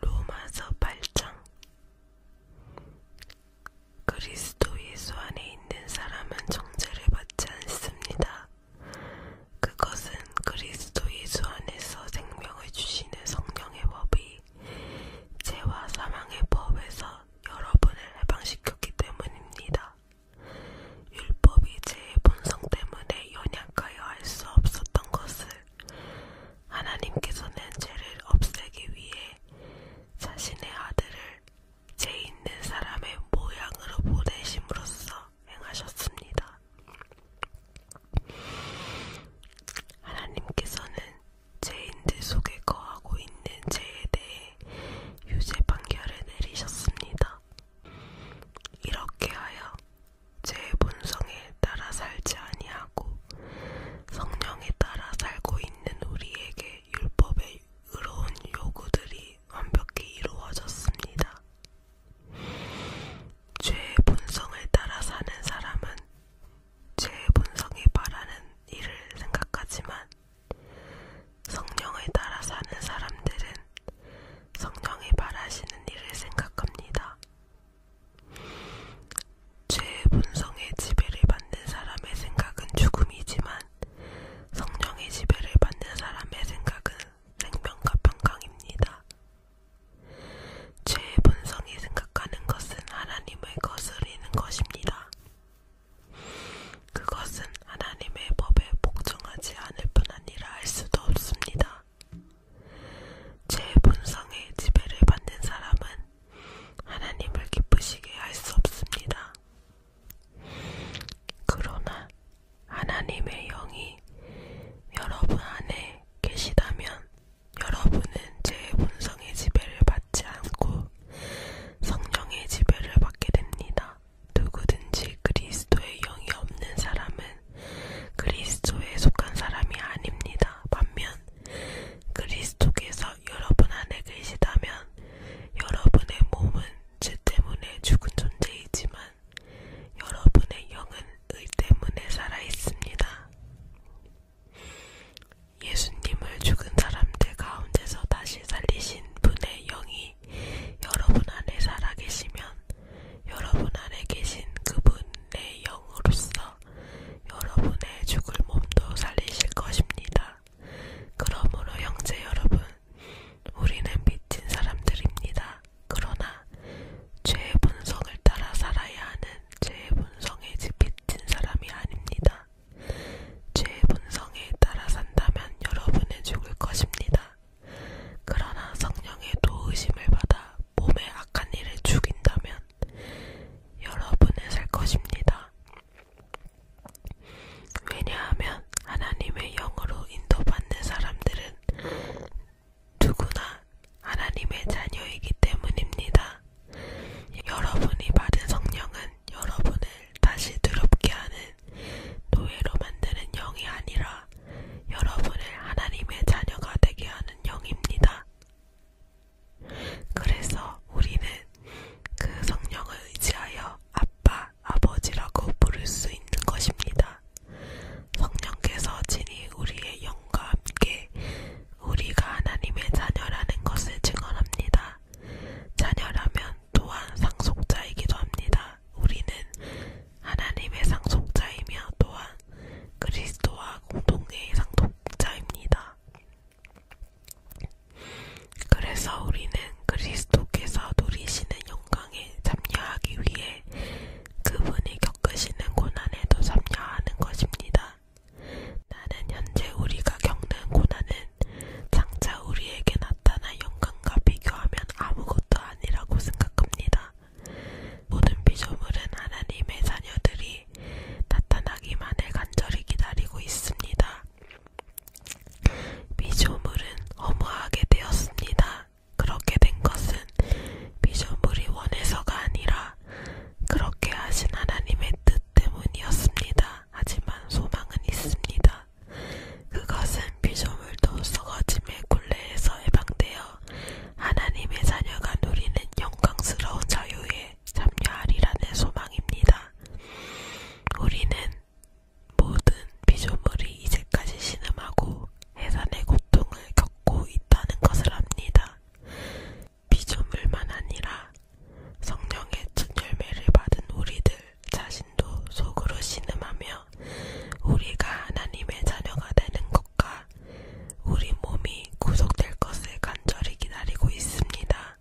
로마서 8장 그리스도 예수 안에 있는 사람은 정죄를 받지 않습니다. 그것은 그리스도 예수 안에서 생명을 주시는 성령의 법이 죄와 사망의 법에서 여러분을 해방시켰기 때문입니다. 율법이 제의 본성 때문에 연약하여 할 수 없었던 것을 하나님께서는 죄를 없애기 위해 자신의 아들을 죄 있는 사람의 모양으로 보내심으로써 행하셨습니다. 하나님께서는 죄인들 속에 거하고 있는 죄에 대해 유죄 판결을 내리셨습니다. 이렇게 하여 제 본성에 따라 살지 아니하고 성령에 따라 살고 있는 우리에게 율법의 의로운 요구들이 완벽히 이루어졌습니다. 죄의 본성을 따라 사는 사람은 죄의 본성이 바라는 일을 생각하지만 성령을 따라 사는 사람들은 성령이 바라시는 일을 생각합니다. 죄의 본성에 지배를 받는 사람의 생각은 죽음이지만 성령의 지배를 받는 사람의 생각은 생명과 평강입니다. 죄의 본성이 생각하는 것은 하나님을 거스리는 것입니다. 그것은 하나님의 법에 복종하지 않을 뿐 아니라 할 수도 없습니다. 죄의 본성에 지배를 받는 사람은 하나님을 기쁘시게 할 수 없습니다. 그러나 하나님의 영이 여러분 안에 계시다면 여러분은 죄의 본성의 지배를 받지 않고 성령의 지배를 받게 됩니다. 누구든지 그리스도의 영이 없는 사람은 그리스도에 속한 사람이 아닙니다. 반면 그리스도께서 여러분 안에 계시다면 여러분의 몸은 죄 때문에 죽은 존재이지만 여러분의 영은 의 때문에 살아 있습니다. 예수님을 죽은 사람들 가운데서 다시 살리신 분의 영이 여러분 안에 살아계시면 여러분 안에 계신 그분의 영으로서 여러분의 죽을 몸도 살리실 것입니다. 그러므로 형제 여러분, 우리는 미친 사람들입니다. 그러나 죄의 본성을 따라 살아야 하는 죄의 본성에 미친 사람이 아닙니다. 죄의 본성에 따라 산다면 여러분은 죽을 것입니다. 그러나 성령의 도우심을 받아 몸의 악한 일을 죽인다면 여러분은 살 것입니다. 왜냐하면 하나님의 영으로 인도받는 사람들은 누구나 하나님의 자녀이기 때문입니다. 여러분이 받은 성령은 여러분을 다시 두렵게 하는 노예로 만드는 영이 아니라 여러분을 하나님의 자녀가 되게 하는 영입니다. 그래서 우리는 그 성령을 의지하여 아빠, 아버지라고 부를 수 있는 것입니다. 성령께서 친히 우리의 영과 함께 우리가 하나님의 자녀라는 것을 증언합니다. 자녀라면 또한 상속자이기도 합니다. 우리는 하나님의 상속자이며 또한 그리스도와 공동의 상속자입니다. 그래서 우리는 그리스도께서 누리시는 영광에 참여하기 위해 그분이 겪으시는 고난에도 참여하는 것입니다. 나는 현재 우리가 겪는 고난은 장차 우리에게 나타난 영광과 비교하면 아무것도 아니라고 생각합니다. 모든 피조물은 하나님의 자녀들이 나타나기만을 간절히 기다리고 있습니다. 피조물은 허무하게 되었습니다. 그렇게 된 것은 피조물이 원해서가 아니라 그렇게 하신 하나님의 뜻 때문이었습니다. 하지만 소망은 있습니다. 그것은 비조물도 썩어짐의 굴레에서 해방되어 하나님의 자녀가 누리는 영광스러운 자유에 참여하리라는 소망입니다. 우리는 모든 비조물이 이제까지 신음하고 해산의 고통을 겪고 있다는 것을 압니다. 아니라 피조물만 아니라 성령의 첫 열매를 받은 우리들 자신도 속으로 신음하며 우리가 하나님의 자녀가 되는 것과 우리 몸이 구속될 것을 간절히 기다리고 있습니다.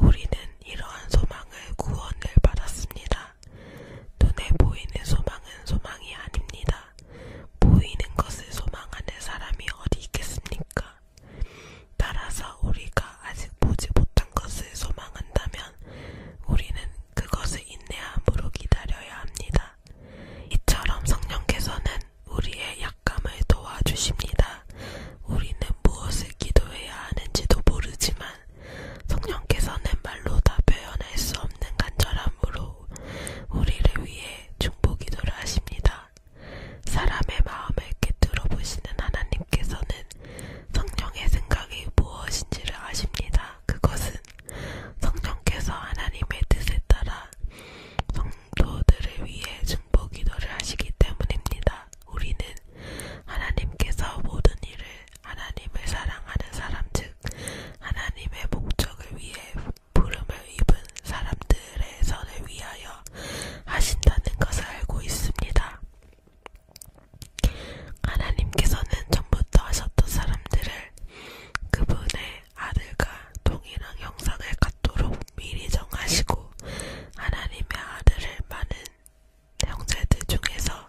우리는 이러한 소망을 구원을 받았습니다. 눈에 보이는 소망은 소망이 아닙니다. 보이는 것을 소망하는 사람이 어디 있겠습니까? 따라서 우리가 아직 보지 못한 것을 소망한다면 우리는 그것을 인내함으로 기다려야 합니다. 이처럼 성령께서는 우리의 약감을 도와주십니다. 우리는 무엇을 기도해야 하는지도 모르지만 성령께서는 말로 다 표현할 수 없는 간절함으로 우리를 위해 중보기도를 하십니다. 사람의 마음을 깨뜨려 보시는 하나님께서는 성령의 생각이 무엇인지를 아십니다. 그것은 성령께서 하나님의 뜻에 따라 성도들을 위해 중보기도를 하시기 때문입니다. 우리는 하나님께서 모든 일을 하나님을 사랑하는 사람 즉 하나님의 목적을 위해 부름을 입은 사람들의 선을 위하여 하신다는 것을 알고 있습니다. 하나님께서는 전부터 하셨던 사람들을 그분의 아들과 동일한 형상을 갖도록 미리 정하시고 하나님의 아들을 많은 형제들 중에서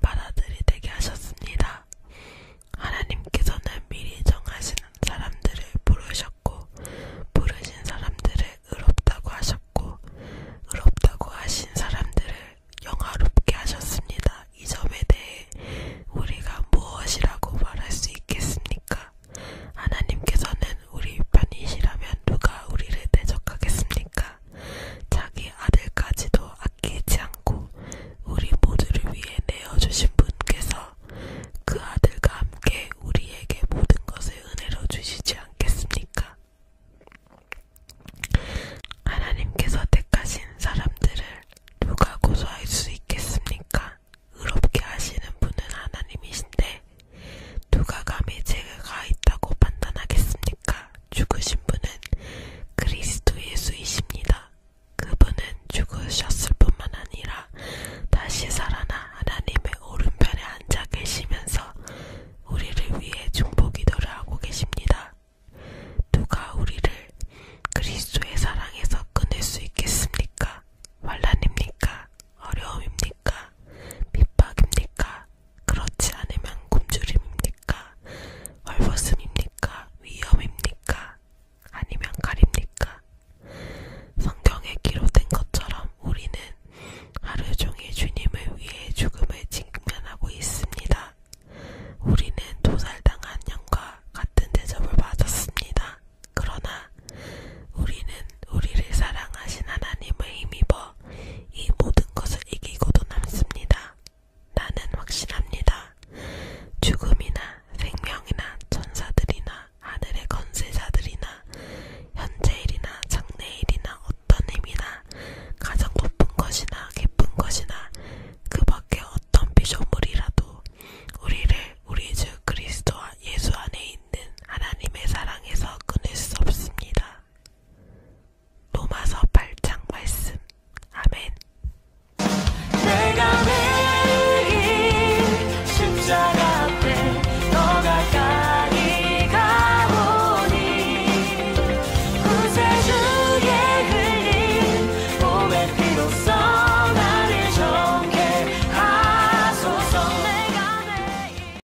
마다들이 되게 하셨습니다. 하나님께서는 미리 정하시는 사람들을 부르셨고 부르신 사람들을 의롭다고 하셨고 의롭다고 하신 사람들을 영화롭게 하셨습니다. 이 점에 대해 우리가 무엇이라고 말할 수 있겠습니까? 하나님께서는 우리 편이시라면 누가 우리를 대적하겠습니까? 자기 아들까지도 아끼지 않고 우리 모두를 위해 내어주신 분께서 그 아들과 함께 우리에게 모든 것을 은혜로 주시지 않겠습니까? 하나님께서 택하신 사람들을 누가 고소할 수 있겠습니까? 의롭게 하시는 분은 하나님이신데 누가 감히 죄가 있다고 판단하겠습니까? 죽으신 분은 그리스도 예수이십니다. 그분은 죽으셨을 뿐만 아니라 다시 살아나 하나님의 오른편에 앉아 계시면서 우리를 위해 중보기도를 하고 계십니다. 누가 우리를 그리스도의 사랑에서 끊을 수 있겠습니까? 환란입니까? 어려움입니까? 핍박입니까? 그렇지 않으면 굶주림입니까? 헐벗음입니까? 위험입니까? 아니면 가립니까? 성경에 기록된 것처럼 우리는 하루 종일 주님을 위해 죽음을 직면하고 있습니다. 우리는 도살당한 영과 같은 대접을 받았습니다. 그러나 우리는 우리를 사랑하신 하나님을 힘입어 이 모든 것을 이기고도 남습니다. 나는 확신합니다. 죽음이나 생명이나 천사들이나 하늘의 건세자들이나 현재일이나 장래일이나 어떤 힘이나 가장 높은 것이나 깊은 것이나 그 밖에 어떤 비조물이라도 우리를 우리 주 그리스도와 예수 안에 있는 하나님의 사랑에서 끊을 수 없습니다. 로마서 8장 말씀. 아멘. 내가 매일 십자가 앞에 더 가까이 가오니 구세주의 흘린 몸의 피로써 나를 정해 가소서 내가 매일